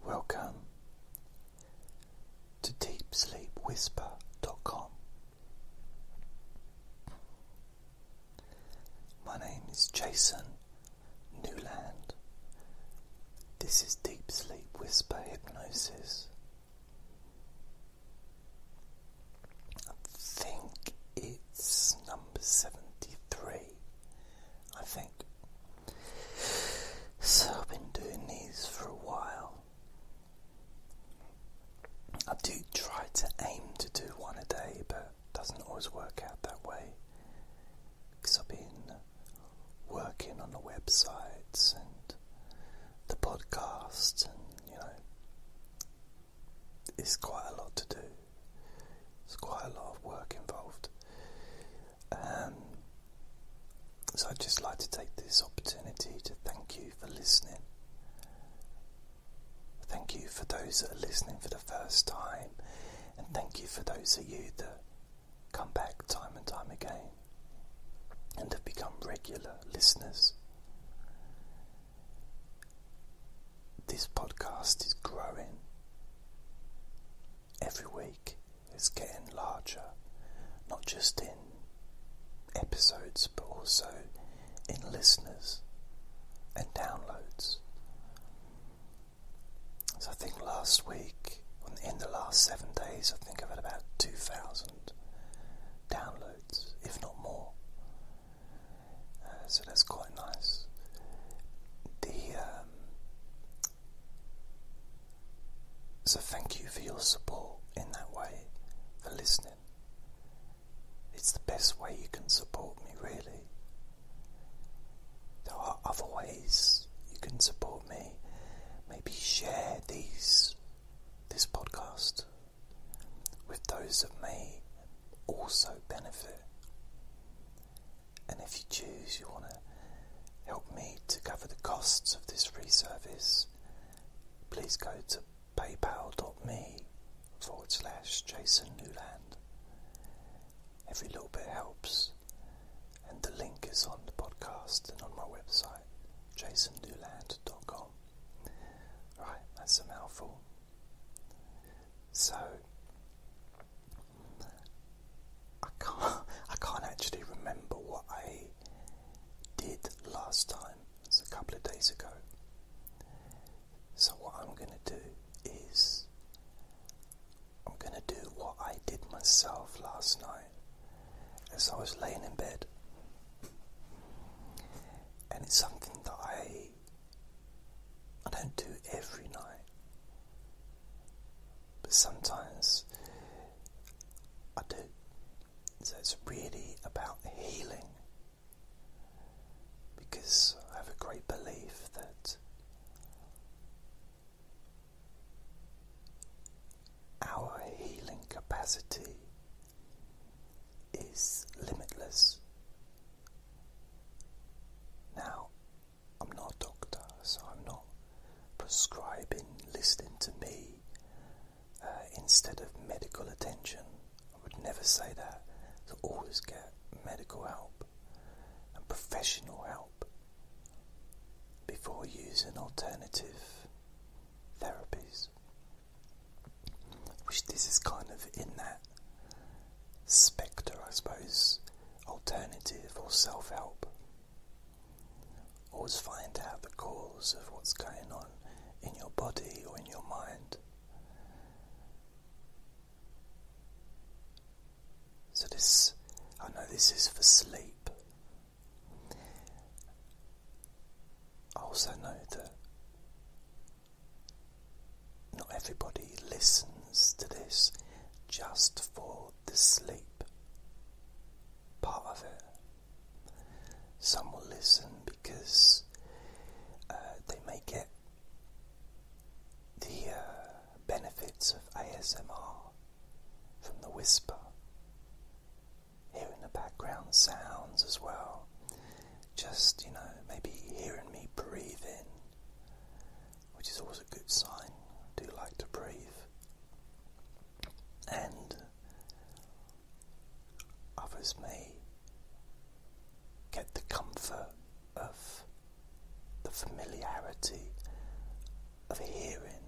Hello. Welcome to deepsleepwhisper.com. My name is Jason Newland. This is Deep Sleep Whisper Hypnosis. I think it's number number 73, I think. So I've been doing these for a while. I do try to aim to do one a day, but it doesn't always work out that way because I've been working on the websites and the podcast, and you know, it's quite a lot to do. It's quite a lot of work involved. Um, so I'd just like to take this opportunity to thank you for listening. Thank you for those that are listening for the first time, and thank you for those of you that come back time and time again and have become regular listeners. This podcast is growing. Every week it's getting larger, not just in episodes but also in listeners and downloads. So I think last week, in the last seven days, I think I've had about 2,000 downloads, if not more. Uh, so that's quite nice. The um, so thank you for your support in that way for listening. It's the best way you can support me, really. There are other ways you can support me. Maybe share these this podcast with those of me, also benefit. And if you choose, you want to help me to cover the costs of this free service, please go to paypal.me forward slash Jason Newland. Every little bit helps, and the link is on the podcast and on my website, jasonnewland.com. Right, that's a mouthful. So I can't I can't actually remember what I did last time. It's a couple of days ago. So what I'm going to do is I'm going to do what I did myself last night as I was laying in bed. And it's something that I I don't do every night. But sometimes I do. So it's really about healing because I have a great belief that our healing capacity is limitless. Now, I'm not a doctor, so I'm not prescribing, listening to me uh, instead of medical attention. I would never say that. So always get medical help and professional help before using alternative therapies which this is kind of in that spectre, I suppose, alternative or self help. Always find out the cause of what's going on in your body or in your mind. So, this, I know this is for sleep. I also know that not everybody listens to this just for the sleep part of it. Some will listen because uh, they may get the uh, benefits of ASMR from the whisper, hearing the background sounds as well, just, you know, maybe hearing me breathe in, which is always a good sign. I do like to breathe. And others may get the comfort of the familiarity of hearing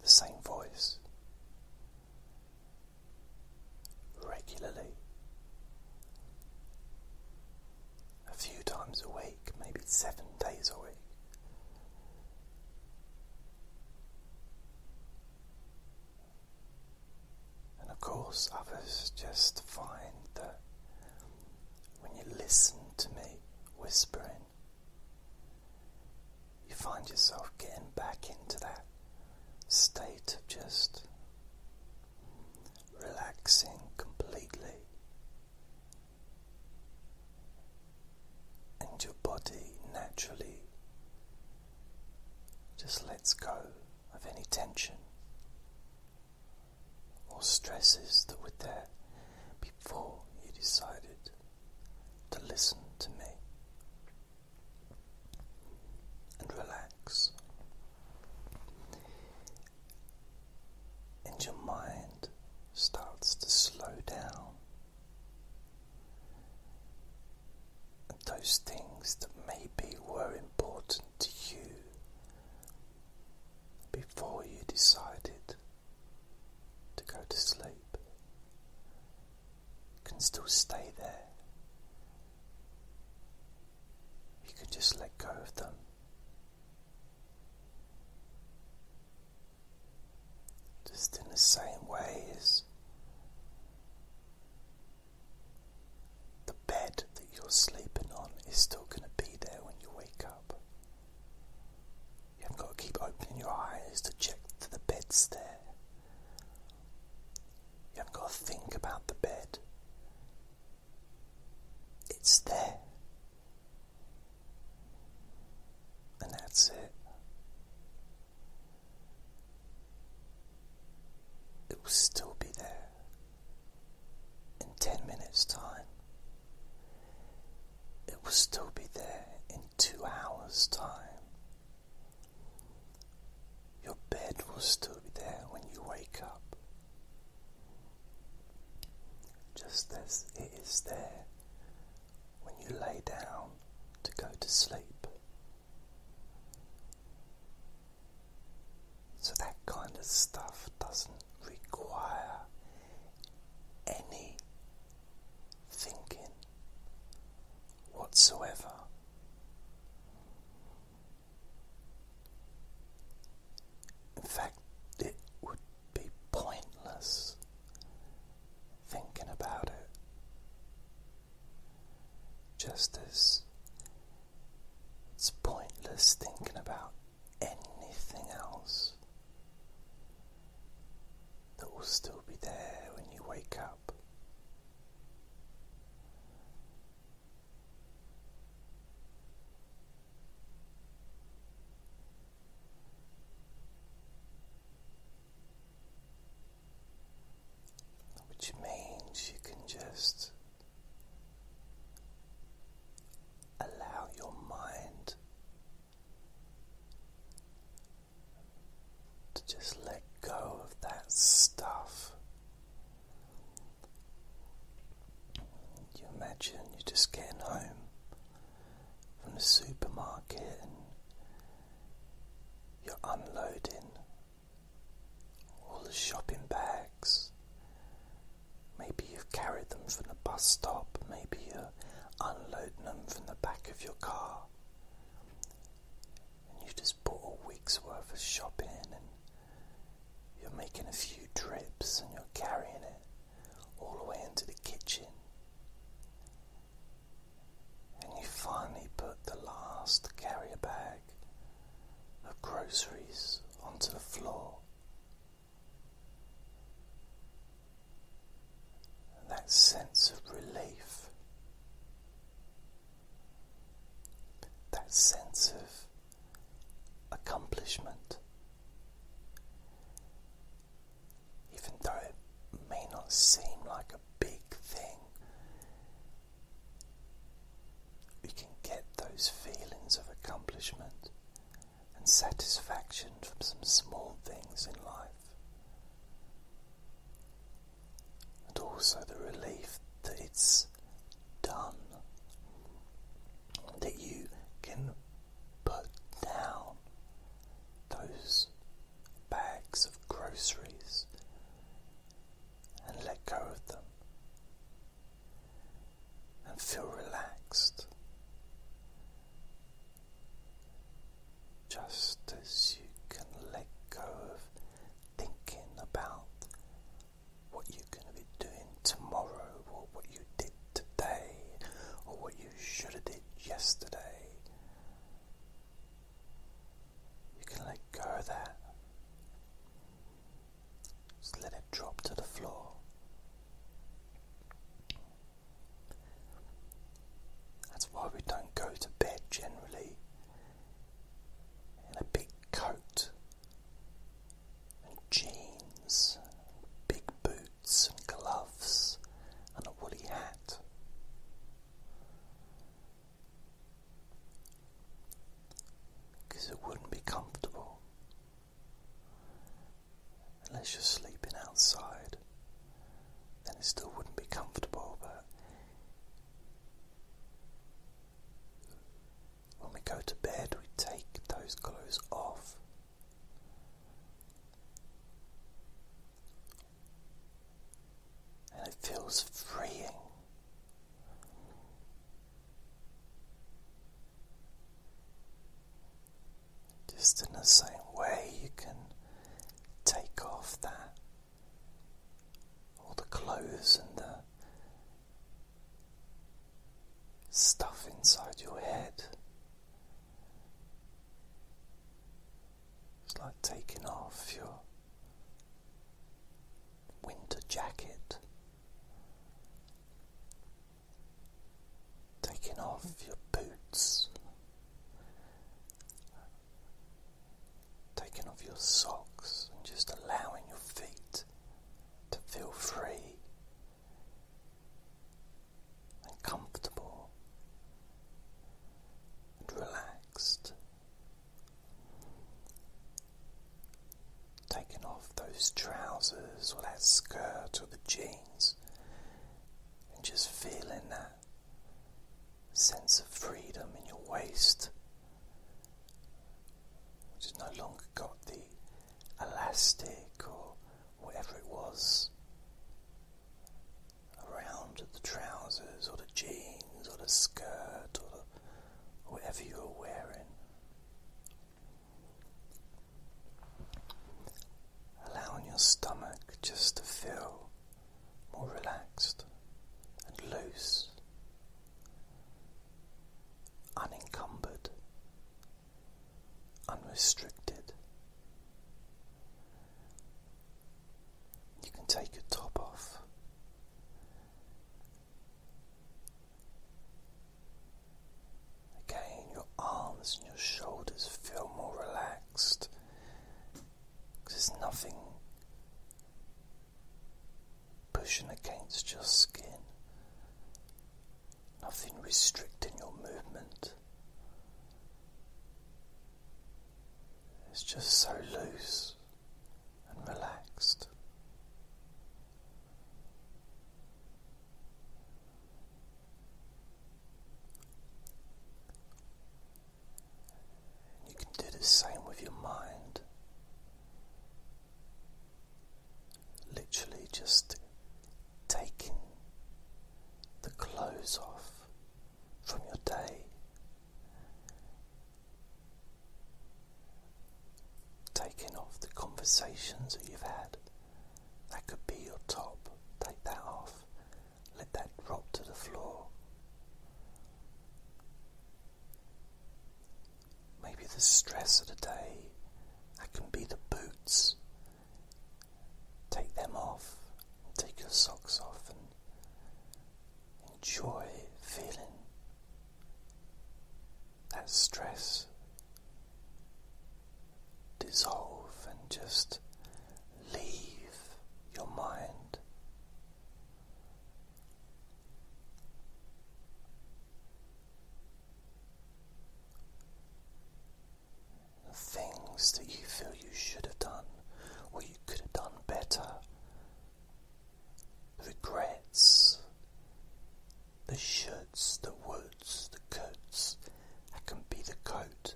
the same voice regularly, a few times a week, maybe seven days a week. And of course, others just find that when you listen to me whispering, you find yourself getting back into that state of just relaxing completely, and your body naturally just lets go of any tension or stresses that were there before you decided to listen to me and relax. And your mind starts to slow down. And those things that maybe were important to you before you decided to go to sleep can still stay there. You can just let go of them. Just in the same way as the bed that you're sleeping on is still going to be there when you wake up. You haven't got to keep opening your eyes to check that the bed's there. You haven't got to think about the bed. It's there. And that's it. It will still be there in 10 minutes' time. It will still be there in two hours' time. Your bed will still be there when you wake up. Just as it is there when you lay down to go to sleep. So that kind of stuff doesn't require any thinking whatsoever. In fact, it would be pointless thinking about it, just as it's pointless thinking about anything else that will still be there when you wake up. Which means you can just allow your mind to just let go of that stuff. You imagine you're just getting home from the supermarket and you're unloading all the shopping bags. Maybe you've carried them from the bus stop, maybe you're unloading them from the back of your car and you just put a week's worth of shopping and you're making a few trips and you're carrying it all the way into the kitchen. And you finally put the last carrier bag of groceries onto the floor. And that sense of relief that sense of accomplishment, even though it may not seem like a big thing, we can get those feelings of accomplishment and satisfaction from some small things in life and also the relief that it's done, that you can put down those bags of groceries and let go of them and feel relaxed just as you can let go of thinking about what you're going to be doing tomorrow or what you did today or what you should have did yesterday. You can let go of that. Just let it drop to the floor. That's why we don't go to bed generally and a big coat and jeans, and big boots and gloves and a woolly hat. Because it wouldn't be comfortable unless you're sleeping outside then it still wouldn't be comfortable. But when we go to bed, we take those clothes off. And it feels freeing. Just in the same way, you can take off that all the clothes and the stuff inside your head. It's like taking off your winter jacket, taking off your boots. Taking off your socks and just allowing your feet to feel free and comfortable and relaxed. Taking off those trousers or that skirt or the jeans and just feeling that sense of freedom in your waist, which has no longer got the elastic or whatever it was around the trousers or the jeans or the skirt or, whatever you are wearing. Allowing your stomach just to fill more relaxed and loose, unencumbered, unrestricted. You can take your top off. Again, your arms and your shoulders feel more relaxed because there's nothing pushing against your skin, nothing restricting your movement. It's just so loose and relaxed. You can do the same with your mind. Literally just taking the clothes off from your day. Taking off the conversations that you've had. That could be your top. Take that off. Let that drop to the floor. Maybe the stress of the day, that can be the boots. Take them off, take your socks off, and enjoy feeling that stress dissolve and just leave your mind. The things that you feel you should have done or you could have done better, the regrets, the shoulds, the woulds, the coats, that can be the coat,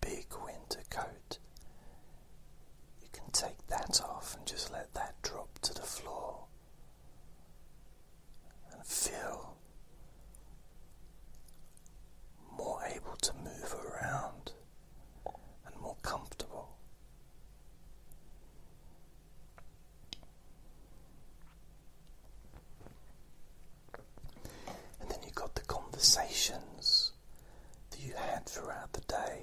big winter coat. You can take that off and just let that drop to the floor and feel more able to move around and more comfortable. And then you've got the conversations that you had throughout the day.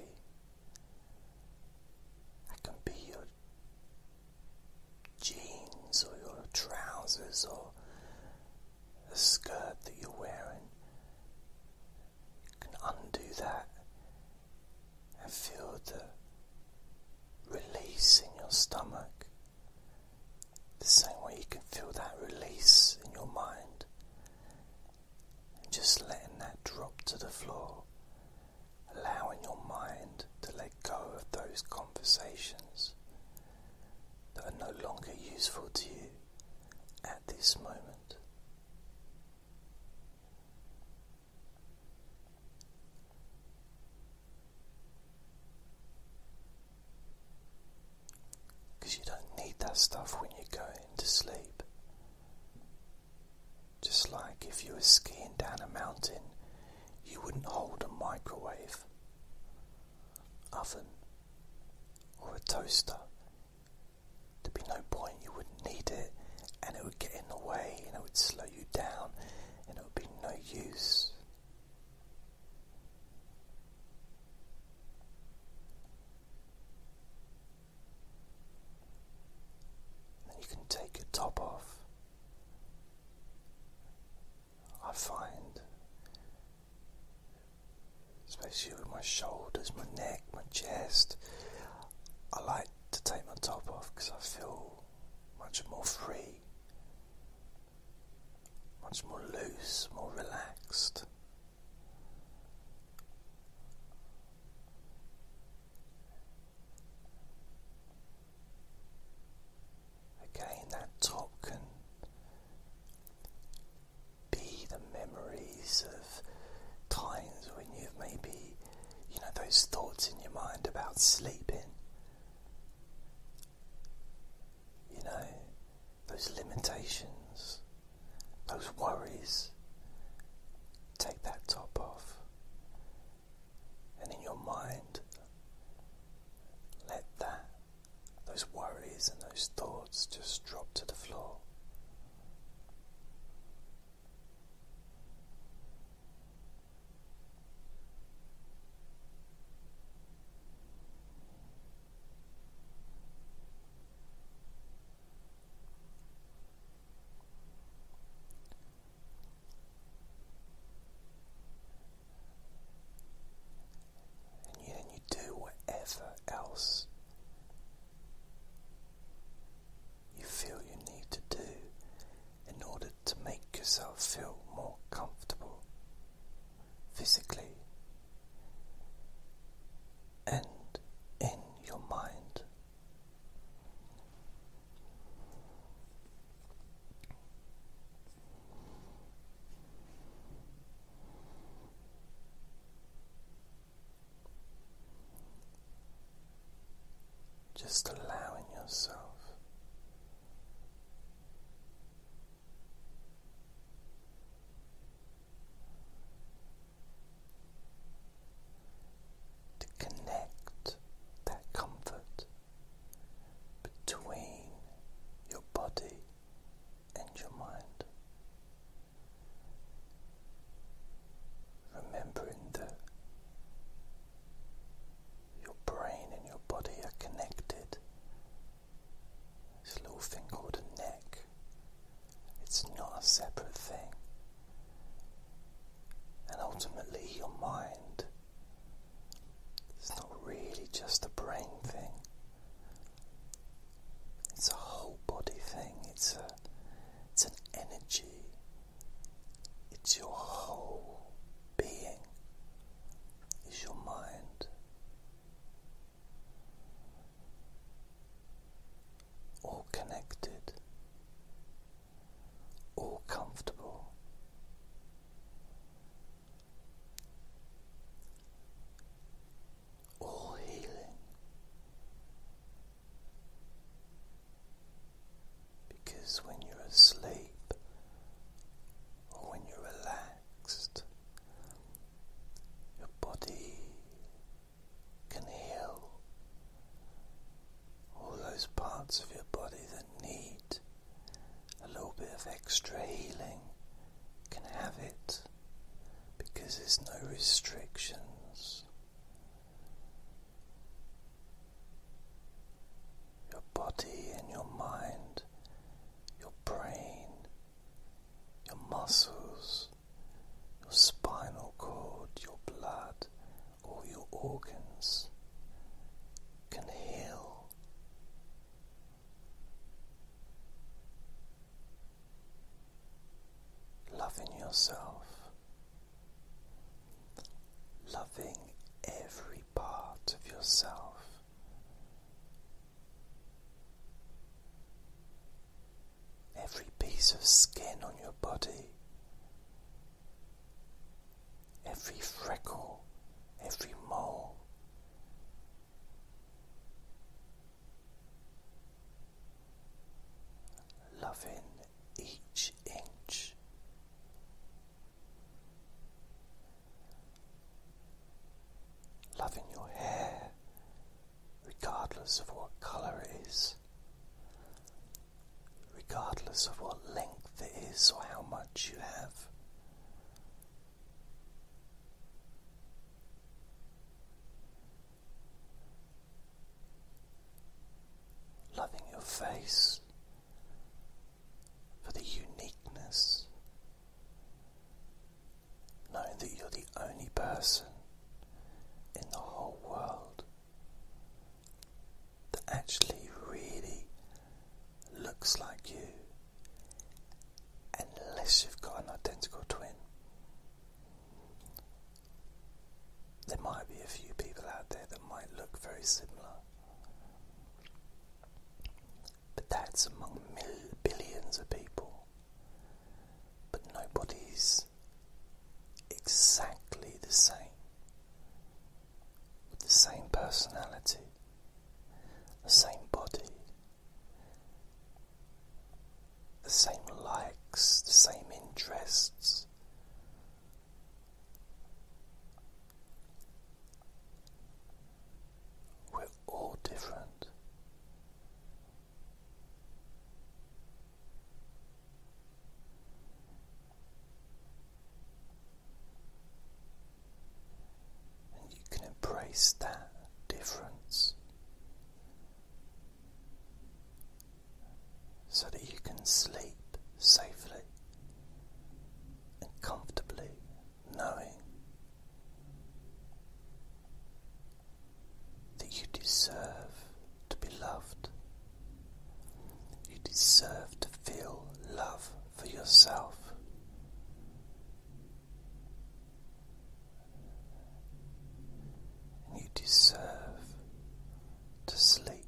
That can be your jeans or your trousers or the skirt that you're wearing. You can undo that and feel the release in your stomach the same way you can feel that release in your mind, just letting that drop to the floor, allowing your mind to let go of those conversations that are no longer useful to you at this moment. Because you don't need that stuff when you're going to sleep. Just like if you were skiing down a mountain, you wouldn't hold a microwave, oven, or a toaster. There'd be no point, you wouldn't need it, and it would get in the way, and it would slow you down, and it would be no use. Then you can take your top off. I find, especially with my shoulders, my neck, my chest, I like to take my top off because I feel much more free much more loose, more relaxed. Again, that top can be the memories of times when you've maybe, you know, those thoughts in your mind about sleeping you know, those limitations, those worries. Take that top off. And in your mind, let that, those worries and those thoughts just drop to the floor. And then you do whatever else you feel you need to do in order to make yourself feel more comfortable physically and in your mind. Just allowing yourself to connect that comfort between your body and your mind. Remembering that your brain and your body are connected it's a little thing called a neck. It's not a separate thing. And ultimately, your mind. It's not really just a brain thing. It's a whole body thing. It's a it's an energy. It's your whole being. It's your mind all connected, all comfortable. All healing because when you're asleep or when you're relaxed your body can heal all those parts of your body that need a little bit of extra healing can have it because there's no restrictions. Your body and your mind your brain, your muscles, your spinal cord, your blood, all your organs can heal. Loving yourself, loving every every part of yourself. Every piece of skin on your body, every freckle, every mole, loving each inch Loving your hair, regardless of what colour it is, regardless of what length it is or how much you have. Loving your face for the uniqueness knowing that you're the only person in the whole world that actually really looks like you, unless you've got an identical twin. There might be a few people out there that might look very similar. But that's among mil billions of people. But nobody's exactly the same, with the same personality, the same body, the same likes, the same interests. We're all different. And you can embrace that difference so that you can sleep safely and comfortably knowing that you deserve to be loved, you deserve to feel love for yourself. And you deserve to sleep.